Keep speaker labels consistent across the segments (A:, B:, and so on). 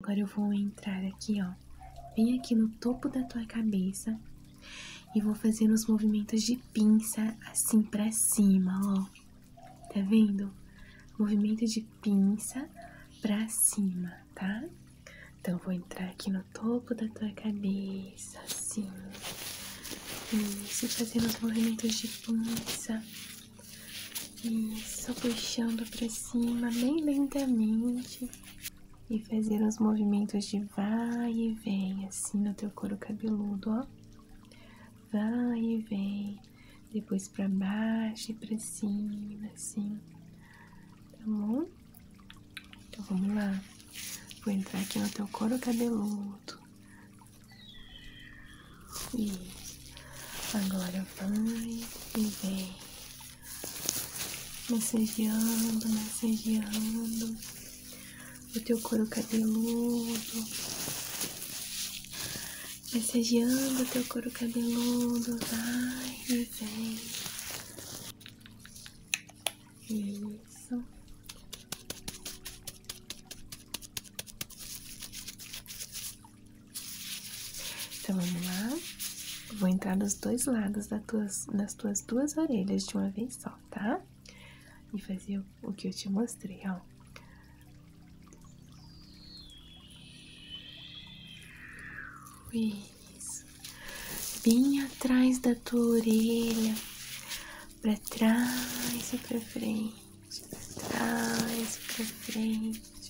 A: Agora eu vou entrar aqui, ó. Bem aqui no topo da tua cabeça. E vou fazer uns movimentos de pinça assim pra cima, ó. Tá vendo? Movimento de pinça pra cima, tá? Então eu vou entrar aqui no topo da tua cabeça, assim. Isso, fazendo os movimentos de pinça isso, puxando para cima bem lentamente e fazendo os movimentos de vai e vem assim no teu couro cabeludo, ó. Vai e vem, depois para baixo e para cima, assim. Tá bom? Então vamos lá. Vou entrar aqui no teu couro cabeludo. Isso. Agora vai e vem massageando, massageando o teu couro cabeludo, massageando o teu couro cabeludo, vai e vem. Isso. Então vamos lá. vou entrar dos dois lados das tuas, das tuas duas orelhas de uma vez só, tá? E fazer o que eu te mostrei, ó. Isso. Bem atrás da tua orelha. Pra trás e pra frente. Pra trás e pra frente.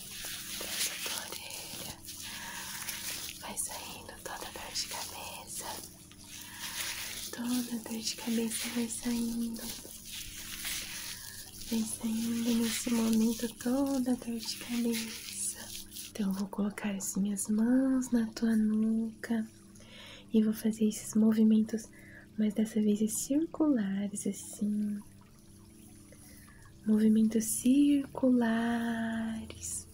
A: vai saindo toda dor de cabeça, toda dor de cabeça vai saindo, vai saindo nesse momento toda dor de cabeça. Então eu vou colocar as minhas mãos na tua nuca e vou fazer esses movimentos, mas dessa vez é circulares assim movimentos circulares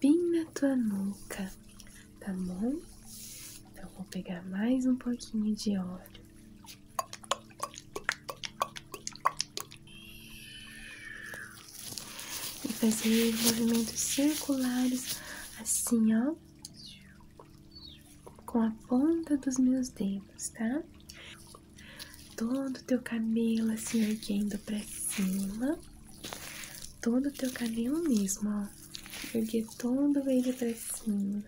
A: bem na tua nuca, tá bom? Então vou pegar mais um pouquinho de óleo. E fazer movimentos circulares assim, ó com a ponta dos meus dedos, tá? Todo o teu cabelo assim erguendo pra cima. Todo o teu cabelo mesmo, ó. Erguer todo ele pra cima.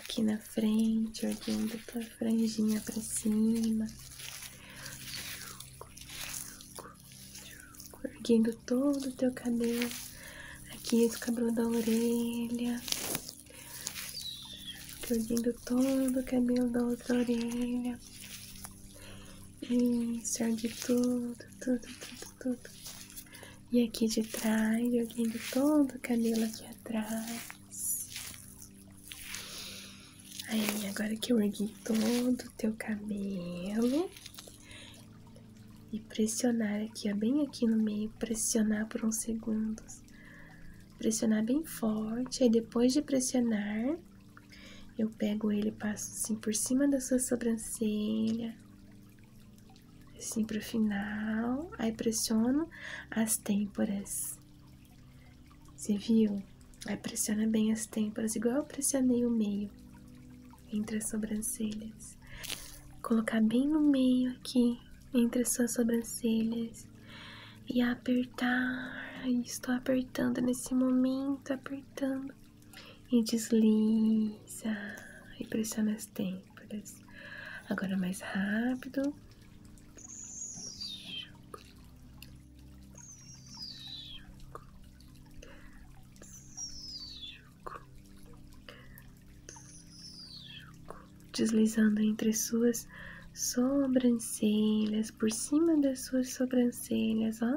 A: Aqui na frente, erguendo tua franjinha pra cima. Erguendo todo o teu cabelo. Aqui do cabelo da orelha. Explodindo todo o cabelo da outra orelha. Isso, de tudo, tudo, tudo, tudo. E aqui de trás, jogando todo o cabelo aqui atrás. Aí, agora que eu ergui todo o teu cabelo. E pressionar aqui, ó, bem aqui no meio, pressionar por uns segundos pressionar bem forte. Aí depois de pressionar, eu pego ele e passo assim por cima da sua sobrancelha, assim pro final. Aí pressiono as têmporas. Você viu? Aí pressiona bem as têmporas, igual eu pressionei o meio entre as sobrancelhas. Colocar bem no meio aqui aqui entre suas sobrancelhas e apertar. Estou apertando nesse momento, apertando. E desliza e pressiona é as têmporas. Agora mais rápido deslizando entre suas sobrancelhas, por cima das suas sobrancelhas, ó.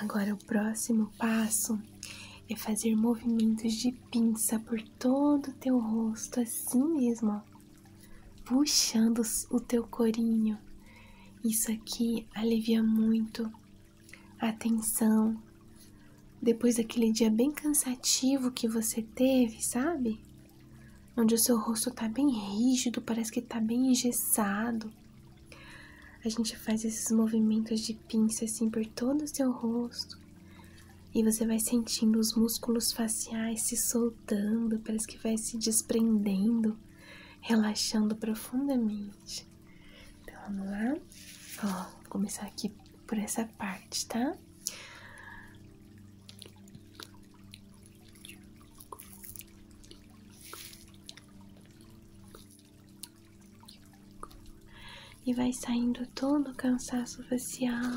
A: Agora o próximo passo é fazer movimentos de pinça por todo o teu rosto, assim mesmo, ó. Puxando o teu corinho. Isso aqui alivia muito a tensão, depois daquele dia bem cansativo que você teve, sabe? Onde o seu rosto tá bem rígido, parece que tá bem engessado. A gente faz esses movimentos de pinça assim por todo o seu rosto. E você vai sentindo os músculos faciais se soltando, parece que vai se desprendendo, relaxando profundamente. Então vamos lá. Ó, vou começar aqui por essa parte, tá? E vai saindo todo o cansaço facial.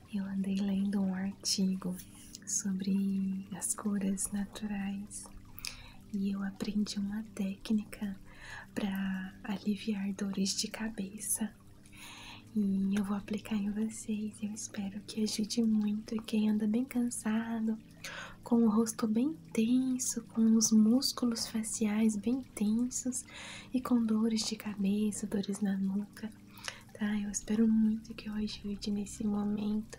A: eu andei lendo um artigo sobre as cores naturais e eu aprendi uma técnica para aliviar dores de cabeça. E eu vou aplicar em vocês. Eu espero que ajude muito. E quem anda bem cansado, com o rosto bem tenso, com os músculos faciais bem tensos e com dores de cabeça, dores na nuca, Tá, eu espero muito que eu ajude nesse momento,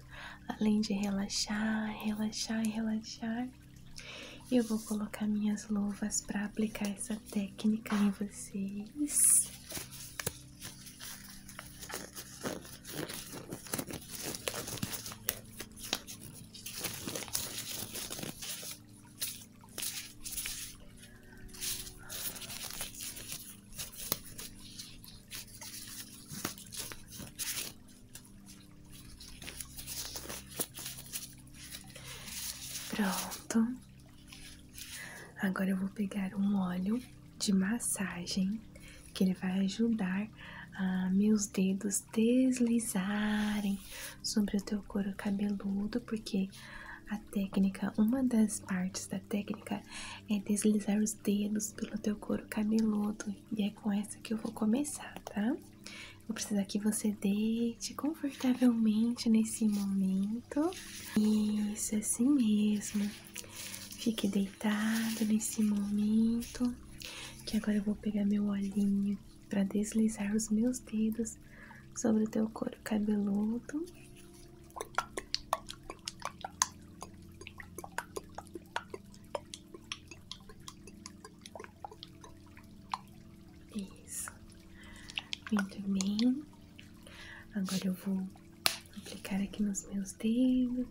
A: além de relaxar, relaxar e relaxar. Eu vou colocar minhas luvas para aplicar essa técnica em vocês. Pronto. Agora eu vou pegar um óleo de massagem que ele vai ajudar a meus dedos deslizarem sobre o teu couro cabeludo, porque a técnica, uma das partes da técnica é deslizar os dedos pelo teu couro cabeludo. E é com essa que eu vou começar, tá? Vou precisar que você deite confortavelmente nesse momento. Isso, assim mesmo. Fique deitado nesse momento. Que agora eu vou pegar meu olhinho para deslizar os meus dedos sobre o teu couro cabeludo. Isso. Muito bem. Agora eu vou aplicar aqui nos meus dedos.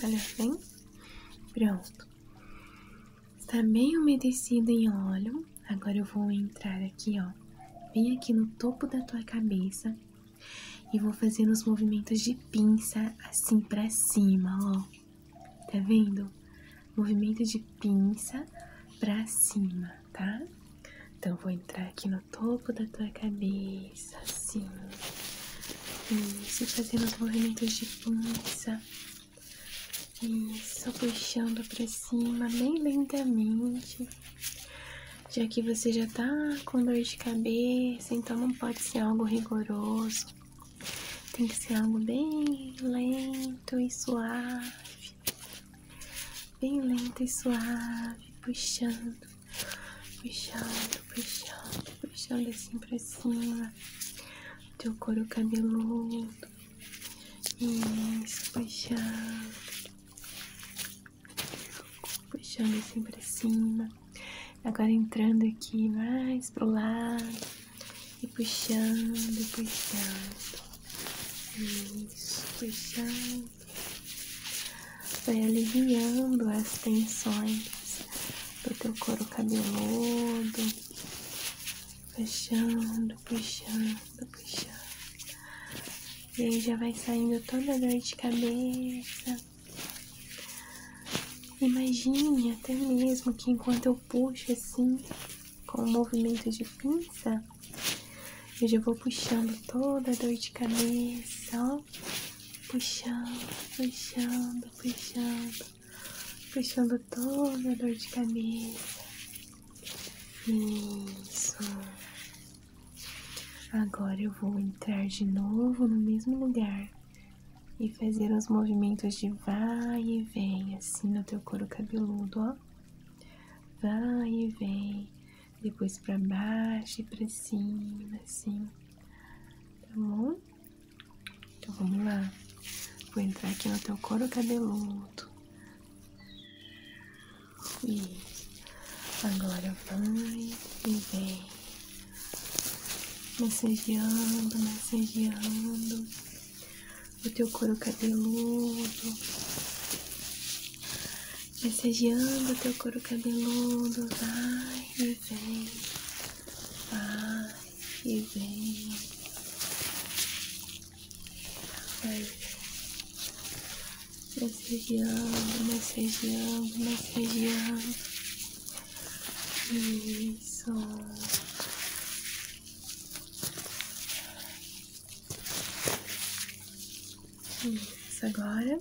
A: Olha tá bem, pronto. Está bem umedecido em óleo. Agora eu vou entrar aqui, ó, bem aqui no topo da tua cabeça e vou fazer os movimentos de pinça assim para cima, ó. Tá vendo? Movimento de pinça pra cima, tá? Então vou entrar aqui no topo da tua cabeça, assim. Isso, fazendo os movimentos de pinça. Isso, puxando pra cima, bem lentamente. Já que você já tá com dor de cabeça, então não pode ser algo rigoroso. Tem que ser algo bem lento e suave, bem lento e suave, puxando, puxando, puxando, puxando assim pra cima, teu couro cabeludo, isso, puxando, puxando assim pra cima. Agora entrando aqui mais pro lado e puxando, puxando. Isso, puxando. Vai aliviando as tensões do teu couro cabeludo. Puxando, puxando, puxando. E aí já vai saindo toda a dor de cabeça. Imagine até mesmo que enquanto eu puxo assim, com o movimento de pinça, eu já vou puxando toda a dor de cabeça, ó. Puxando, puxando, puxando, puxando toda a dor de cabeça. Isso. Agora eu vou entrar de novo no mesmo lugar e fazer uns movimentos de vai e vem, assim no teu couro cabeludo, ó. Vai e vem, depois para baixo e para cima, assim. Tá bom? Então vamos lá. Vou entrar aqui no teu couro cabeludo. Isso. Agora vai e vem massageando, massageando o teu couro cabeludo, massageando o teu couro cabeludo, vai e vem, vai e vem, vai e vem. Massageando, massageando, isso. Isso. Agora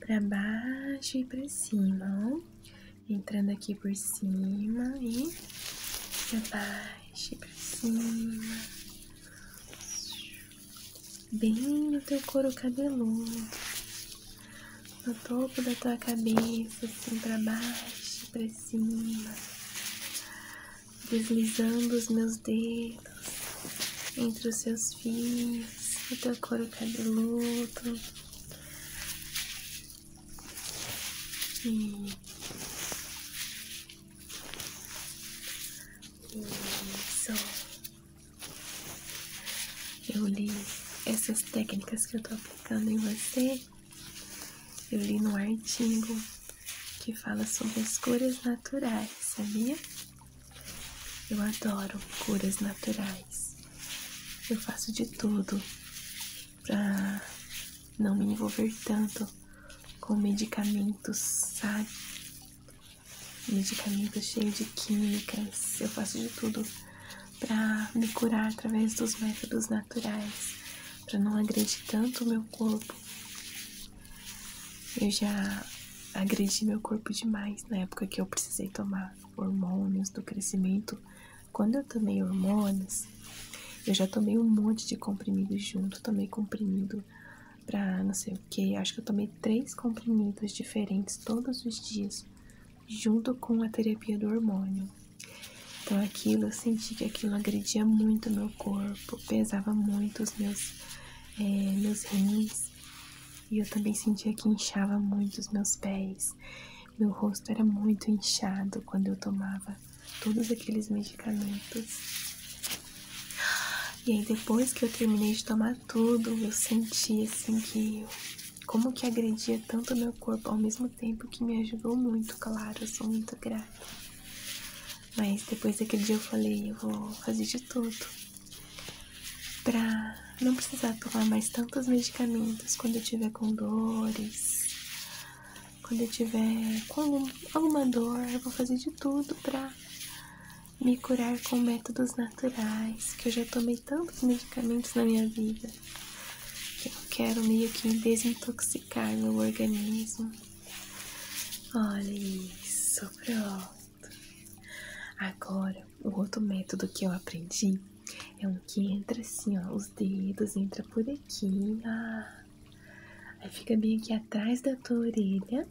A: para baixo e para cima, ó. Entrando aqui por cima e para baixo e para cima. Bem no teu couro cabeludo no topo da tua cabeça, assim para baixo, para cima, deslizando os meus dedos entre os seus fios, o teu couro cabeludo. E... Isso. Eu li essas técnicas que eu tô aplicando em você eu li no artigo que fala sobre as curas naturais, sabia? Eu adoro curas naturais. Eu faço de tudo pra não me envolver tanto com medicamentos, sabe? Medicamentos cheios de químicas. Eu faço de tudo para me curar através dos métodos naturais, para não agredir tanto o meu corpo. Eu já agredi meu corpo demais na época que eu precisei tomar hormônios do crescimento. Quando eu tomei hormônios, eu já tomei um monte de comprimidos junto, tomei comprimido pra não sei o que. Acho que eu tomei três comprimidos diferentes todos os dias junto com a terapia do hormônio. Então aquilo, eu senti que aquilo agredia muito meu corpo, pesava muito os meus, é, meus rins. E eu também sentia que inchava muito os meus pés. Meu rosto era muito inchado quando eu tomava todos aqueles medicamentos. E aí depois que eu terminei de tomar tudo, eu senti assim que como que agredia tanto meu corpo ao mesmo tempo que me ajudou muito, claro, sou muito grata. Mas depois daquele dia eu falei, eu vou fazer de tudo pra não precisar tomar mais tantos medicamentos quando eu tiver com dores, quando eu tiver com alguma dor, eu vou fazer de tudo pra me curar com métodos naturais, que eu já tomei tantos medicamentos na minha vida que eu quero meio que desintoxicar meu organismo. Olha isso, pronto. Agora, o outro método que eu aprendi é um que entra assim, ó, os dedos entra por aqui, ah. aí fica bem aqui atrás da tua orelha.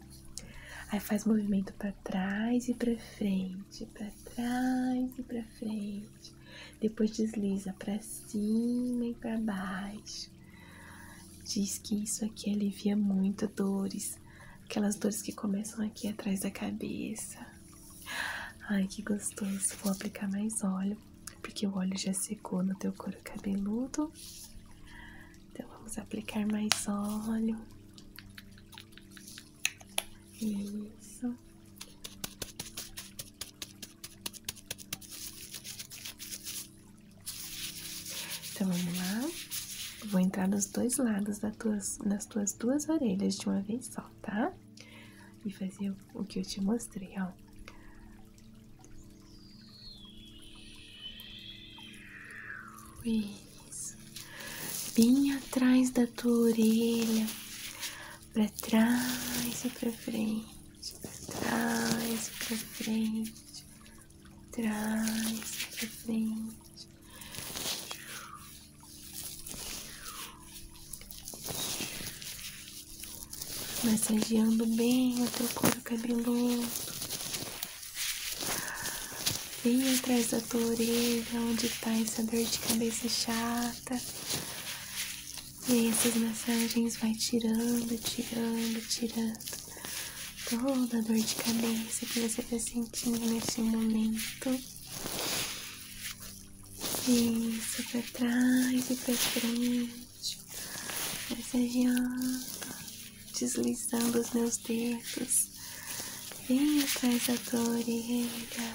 A: Aí faz movimento para trás e para frente, para trás e para frente. Depois desliza para cima e para baixo. Diz que isso aqui alivia muito dores, aquelas dores que começam aqui atrás da cabeça. Ai, que gostoso. Vou aplicar mais óleo, porque o óleo já secou no teu couro cabeludo. Então vamos aplicar mais óleo. Isso. Então vamos lá. vou entrar dos dois lados das tuas, nas tuas duas orelhas de uma vez só, tá? E fazer o que eu te mostrei, ó. Isso. Bem atrás da tua orelha pra trás e pra frente, para trás e pra frente, trás e pra frente. Massageando bem o teu couro cabeludo. Bem atrás da tua orelha, onde está essa dor de cabeça chata. E aí massagens vai tirando, tirando, tirando toda a dor de cabeça que você está sentindo neste momento. Isso, para trás e para frente, massageando, deslizando os meus dedos. Vem atrás da dor e rega.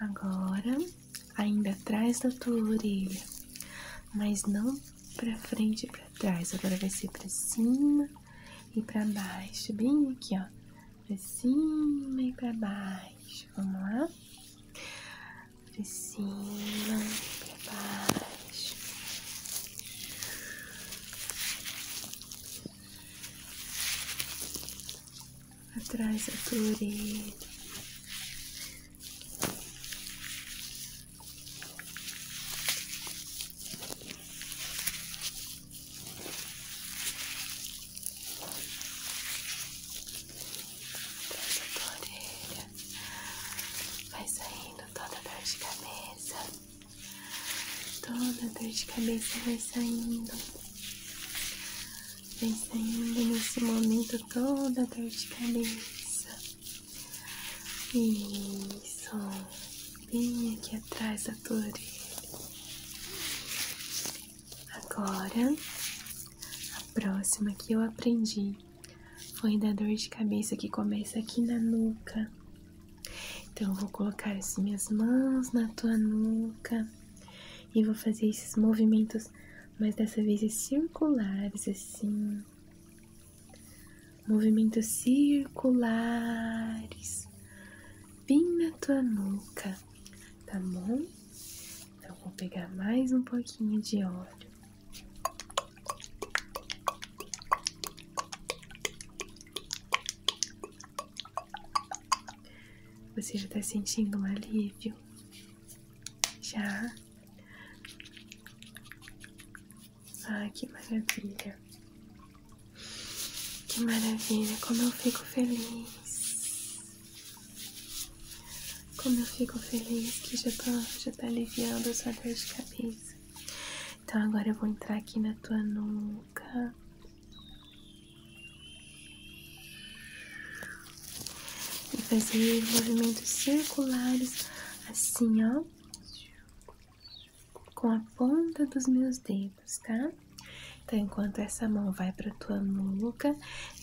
A: Agora, ainda atrás da tua orelha, mas não para frente e para trás. Agora vai ser para cima e para baixo, bem aqui, ó. Para cima e para baixo. Vamos lá? Para cima e para baixo atrás da tua orelha. Atrás da tua orelha. Vai saindo toda dor de cabeça. Toda dor de cabeça vai saindo. Vem saindo nesse momento toda dor de cabeça. Isso. Bem aqui atrás da tua orelha. Agora, a próxima que eu aprendi foi da dor de cabeça que começa aqui na nuca. Então, eu vou colocar as minhas mãos na tua nuca e vou fazer esses movimentos, mas dessa vez é circulares assim. Movimentos circulares bem na tua nuca, tá bom? Então vou pegar mais um pouquinho de óleo. Você já tá sentindo um alívio? Já? Ah, que maravilha! Que maravilha! Como eu fico feliz! Como eu fico feliz que já tá, já tá aliviando a sua dor de cabeça. Então agora eu vou entrar aqui na tua nuca. E fazer movimentos circulares assim, ó. Com a ponta dos meus dedos, tá? Então, enquanto essa mão vai pra tua nuca,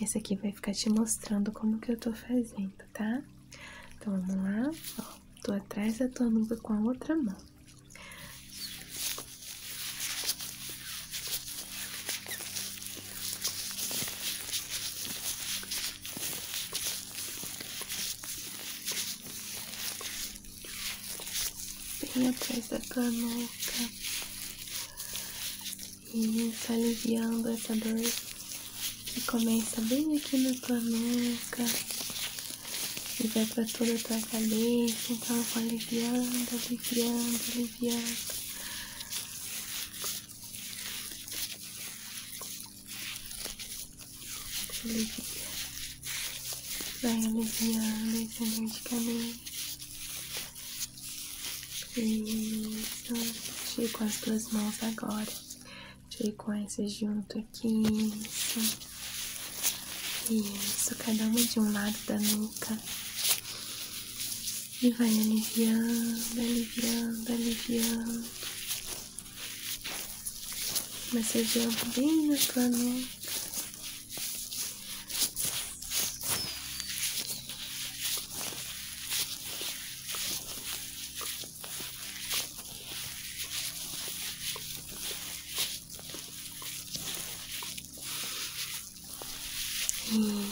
A: essa aqui vai ficar te mostrando como que eu tô fazendo, tá? Então, vamos lá. Ó, tô atrás da tua nuca com a outra mão. Bem atrás da canuca e aliviando essa dor que começa bem aqui na tua nuca e vai pra toda a tua cabeça. Então, aliviando, aliviando, aliviando. Vai aliviando esse medicamento. Isso. Tire com as duas mãos agora. Tire com essas junto aqui. Isso. Isso. Cada uma de um lado da nuca e vai aliviando, aliviando, aliviando, massageando bem na tua nuca.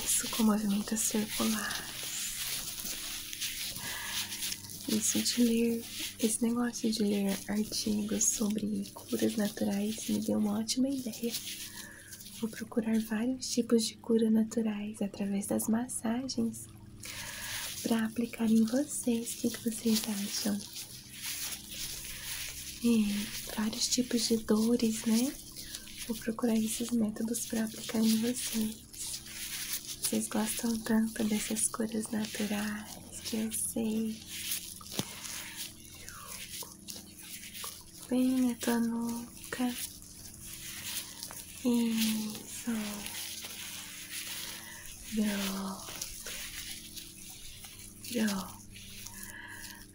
A: Isso, com movimentos circulares. Isso de ler, esse negócio de ler artigos sobre curas naturais me deu uma ótima ideia. Vou procurar vários tipos de cura naturais através das massagens para aplicar em vocês. O que, vocês acham? É, vários tipos de dores, né? Vou procurar esses métodos para aplicar em vocês. Vocês gostam tanto dessas cores naturais que eu sei. Bem na tua nuca. Isso. Pronto. Pronto.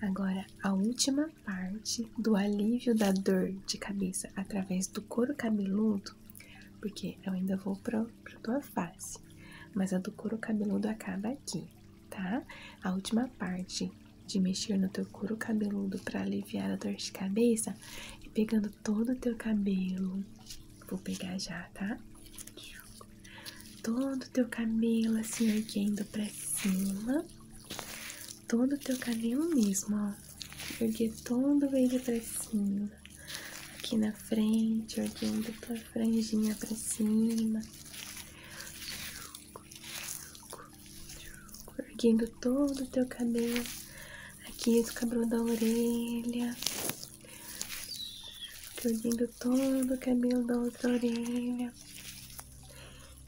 A: Agora, a última parte do alívio da dor de cabeça através do couro cabeludo, porque eu ainda vou para tua face, mas a do couro cabeludo acaba aqui, tá? A última parte de mexer no teu couro cabeludo para aliviar a dor de cabeça e pegando todo o teu cabelo. Vou pegar já, tá? Todo o teu cabelo assim erguendo para cima todo o teu cabelo mesmo, ó. Erguer todo ele pra cima. Aqui na frente, erguendo tua franjinha pra cima. Erguendo todo o teu cabelo. Aqui do cabelo da orelha. Erguendo todo o cabelo da outra orelha.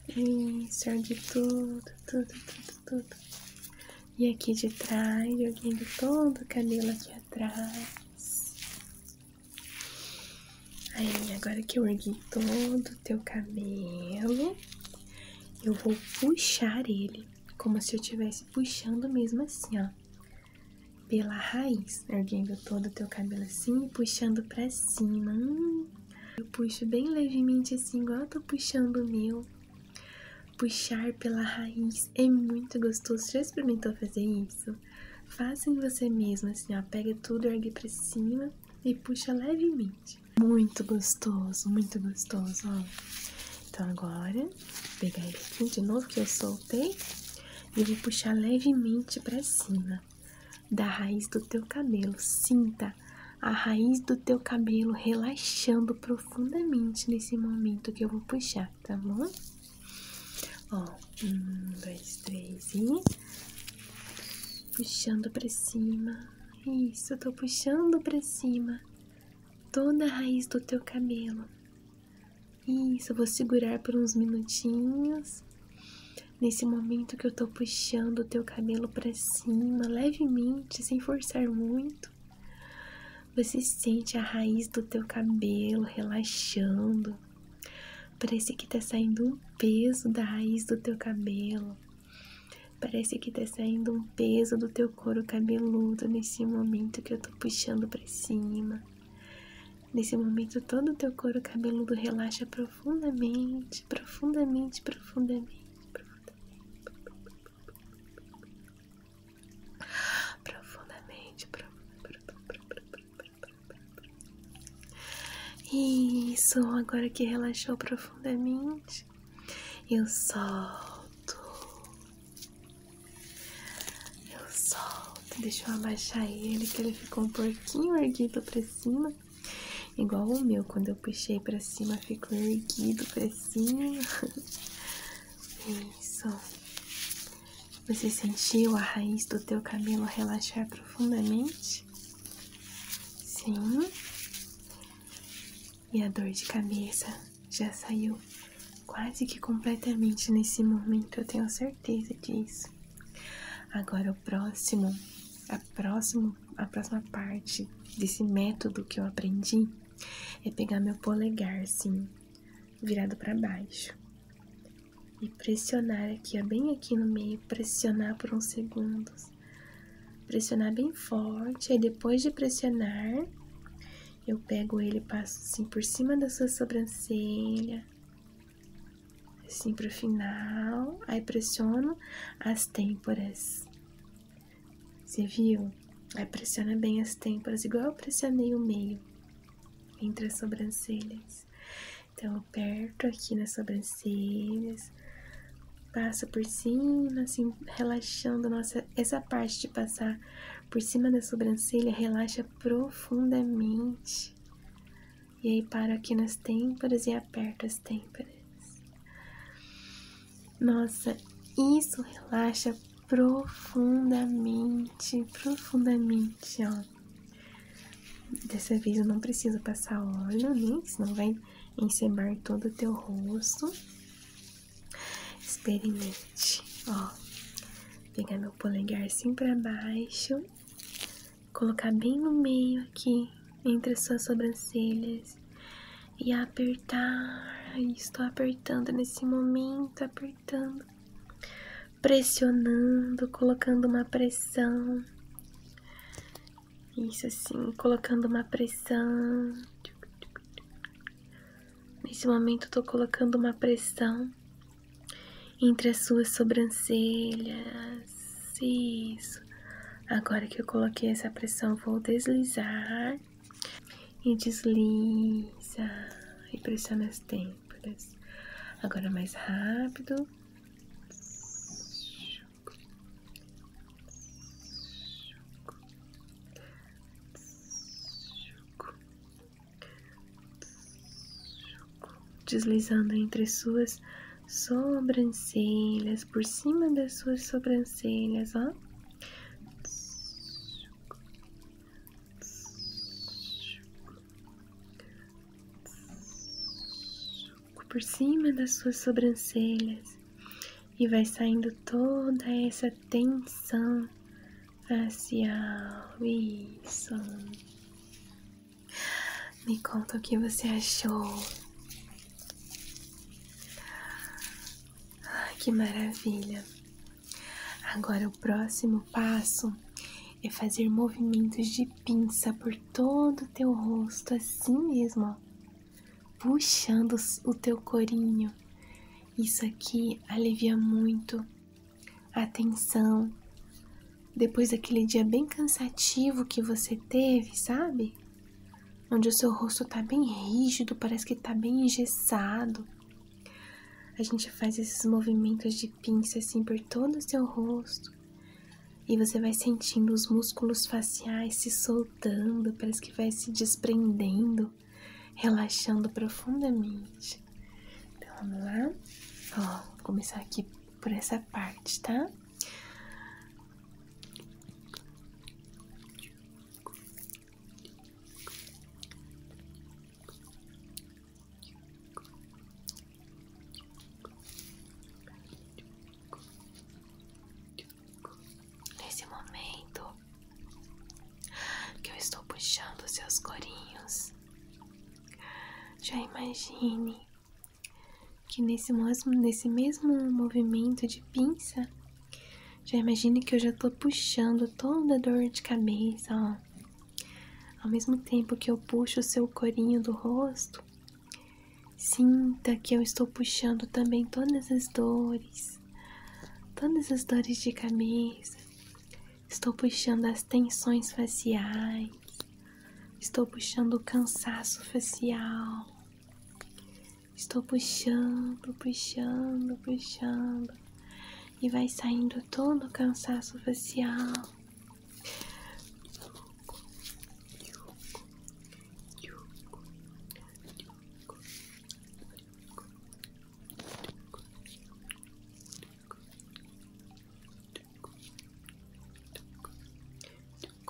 A: Isso, de tudo, tudo, tudo, tudo. E aqui de trás, jogando todo o cabelo aqui atrás. Aí, agora que eu ergui todo o teu cabelo, eu vou puxar ele, como se eu estivesse puxando mesmo assim, ó. Pela raiz, erguendo todo o teu cabelo assim e puxando pra cima. Hum. Eu puxo bem levemente assim, igual eu tô puxando o meu. Puxar pela raiz é muito gostoso. Já experimentou fazer isso? Faça em você mesmo, assim, ó. Pega tudo, ergue pra cima e puxa levemente. Muito gostoso, muito gostoso, ó. Então agora, vou pegar ele aqui de novo que eu soltei e vou puxar levemente pra cima da raiz do teu cabelo, sinta a raiz do teu cabelo relaxando profundamente nesse momento que eu vou puxar, tá bom? Ó, um, dois, três e puxando para cima. Isso, eu tô puxando para cima toda a raiz do teu cabelo. Isso, vou segurar por uns minutinhos Nesse momento que eu tô puxando o teu cabelo para cima, levemente, sem forçar muito, você sente a raiz do teu cabelo relaxando. Parece que tá saindo um peso da raiz do teu cabelo. Parece que tá saindo um peso do teu couro cabeludo nesse momento que eu tô puxando para cima. Nesse momento todo o teu couro cabeludo relaxa para profundamente, profundamente, profundamente, profundamente, profundamente. Isso, agora que relaxou profundamente, eu solto. Eu solto. Deixa eu abaixar ele, que ele ficou um pouquinho erguido para cima. Igual o meu, quando eu puxei pra cima, ficou erguido pra cima. É isso. Você sentiu a raiz do teu cabelo relaxar profundamente? Sim. E a dor de cabeça já saiu quase que completamente nesse momento, eu tenho certeza disso. Agora o próximo, a próximo a próxima parte desse método que eu aprendi é pegar meu polegar, assim virado para baixo. E pressionar aqui, ó, bem aqui no meio, pressionar por uns segundos. Pressionar bem forte, aí depois de pressionar, eu pego ele, passo assim por cima da sua sobrancelha, assim pro final, aí pressiono as têmporas. Você viu? Aí pressiona bem as têmporas, igual eu pressionei o meio entre as sobrancelhas. Então aperto aqui nas sobrancelhas, passo por cima, assim, relaxando nossa essa parte de passar por cima da sobrancelha, relaxa profundamente. E aí paro aqui nas têmporas e aperto as têmporas. Nossa, isso relaxa profundamente, profundamente, ó. Dessa vez eu não preciso passar óleo, né? Senão vai encebar todo o teu rosto. Experimente, ó. Pegar meu polegar assim para baixo colocar bem no meio aqui, entre as suas sobrancelhas, e apertar. Estou apertando nesse momento, apertando, pressionando, colocando uma pressão. Isso assim, colocando uma pressão. Nesse momento, estou colocando uma pressão entre as suas sobrancelhas, isso. Agora que eu coloquei essa pressão, vou deslizar e desliza e pressiona as têmporas. Agora mais rápido. Deslizando entre suas sobrancelhas, por cima das suas sobrancelhas, ó. Por cima das suas sobrancelhas e vai saindo toda essa tensão facial. Isso. Me conta o que você achou. que maravilha! Agora o próximo passo é fazer movimentos de pinça por todo o teu rosto, assim mesmo, puxando o teu corinho. Isso aqui alivia muito a tensão, depois daquele dia bem cansativo que você teve, sabe? Onde o seu rosto tá bem rígido, parece que tá bem engessado. A gente faz esses movimentos de pinça assim por todo o seu rosto. E você vai sentindo os músculos faciais se soltando, parece que vai se desprendendo, relaxando profundamente. Então vamos lá. Ó, vou começar aqui por essa parte, tá? Nesse momento que eu estou puxando seus corinhos, já imagine que nesse mesmo, nesse mesmo movimento de pinça, já imagine que eu já estou puxando toda a dor de cabeça, ó. Ao mesmo tempo que eu puxo o seu corinho do rosto, sinta que eu estou puxando também todas as dores, todas as dores de cabeça. Estou puxando as tensões faciais, Estou puxando o cansaço facial. Estou puxando, puxando, puxando. E vai saindo todo o cansaço facial.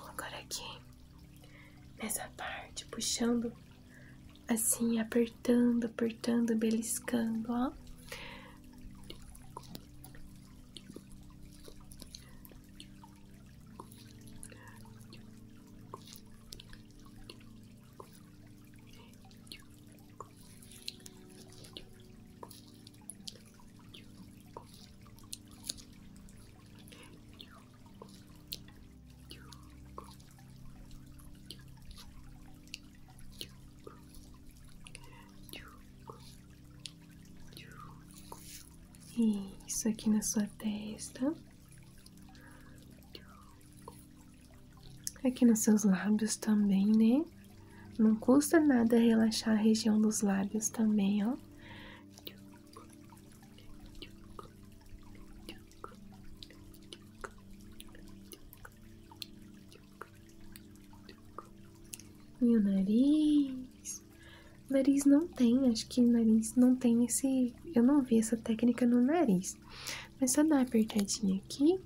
A: Agora aqui, nessa parte, puxando assim, apertando, apertando, beliscando, ó. Isso aqui na sua testa, aqui nos seus lábios também, né? Não custa nada relaxar a região dos lábios também, ó. E o nariz? nariz não tem, acho que nariz não tem esse. Eu não vi essa técnica no nariz. Mas só dá uma apertadinha aqui.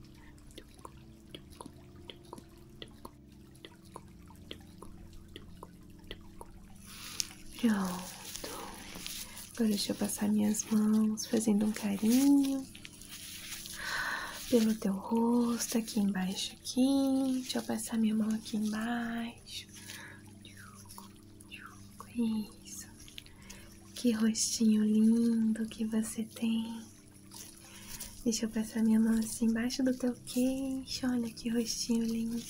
A: Pronto. Agora deixa eu passar minhas mãos fazendo um carinho pelo teu rosto aqui embaixo aqui. Deixa eu passar minha mão aqui embaixo. Isso. Que rostinho lindo que você tem. Deixa eu passar minha mão assim embaixo do teu queixo, olha que rostinho lindo.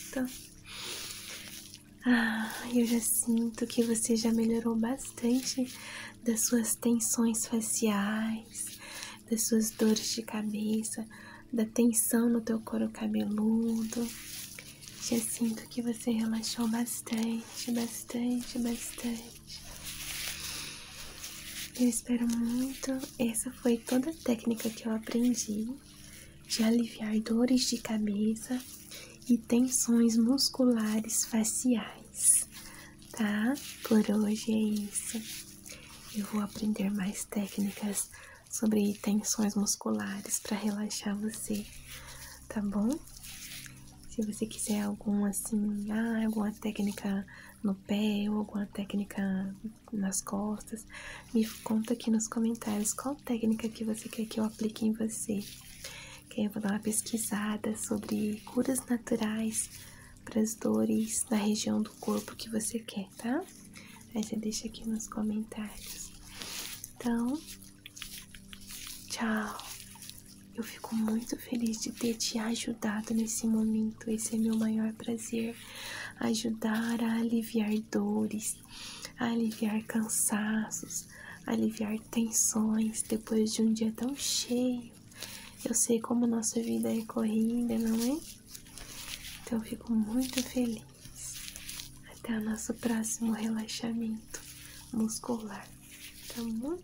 A: Ah, eu já sinto que você já melhorou bastante das suas tensões faciais, das suas dores de cabeça, da tensão no teu couro cabeludo. Já sinto que você relaxou bastante, bastante, bastante. Eu espero muito essa foi toda a técnica que eu aprendi de aliviar dores de cabeça e tensões musculares faciais, tá? Por hoje é isso. Eu vou aprender mais técnicas sobre tensões musculares para relaxar você, tá bom? Se você quiser alguma assim, ah, alguma técnica no pé ou alguma técnica nas costas. Me conta aqui nos comentários qual técnica que você quer que eu aplique em você. Que aí eu vou dar uma pesquisada sobre curas naturais para as dores na região do corpo que você quer, tá? Aí você deixa aqui nos comentários. Então, tchau. Eu fico muito feliz de ter te ajudado nesse momento. Esse é meu maior prazer ajudar a aliviar dores, aliviar cansaços, aliviar tensões depois de um dia tão cheio. Eu sei como nossa vida é corrida, não é? Então eu fico muito feliz. Até o nosso próximo relaxamento muscular, tá bom?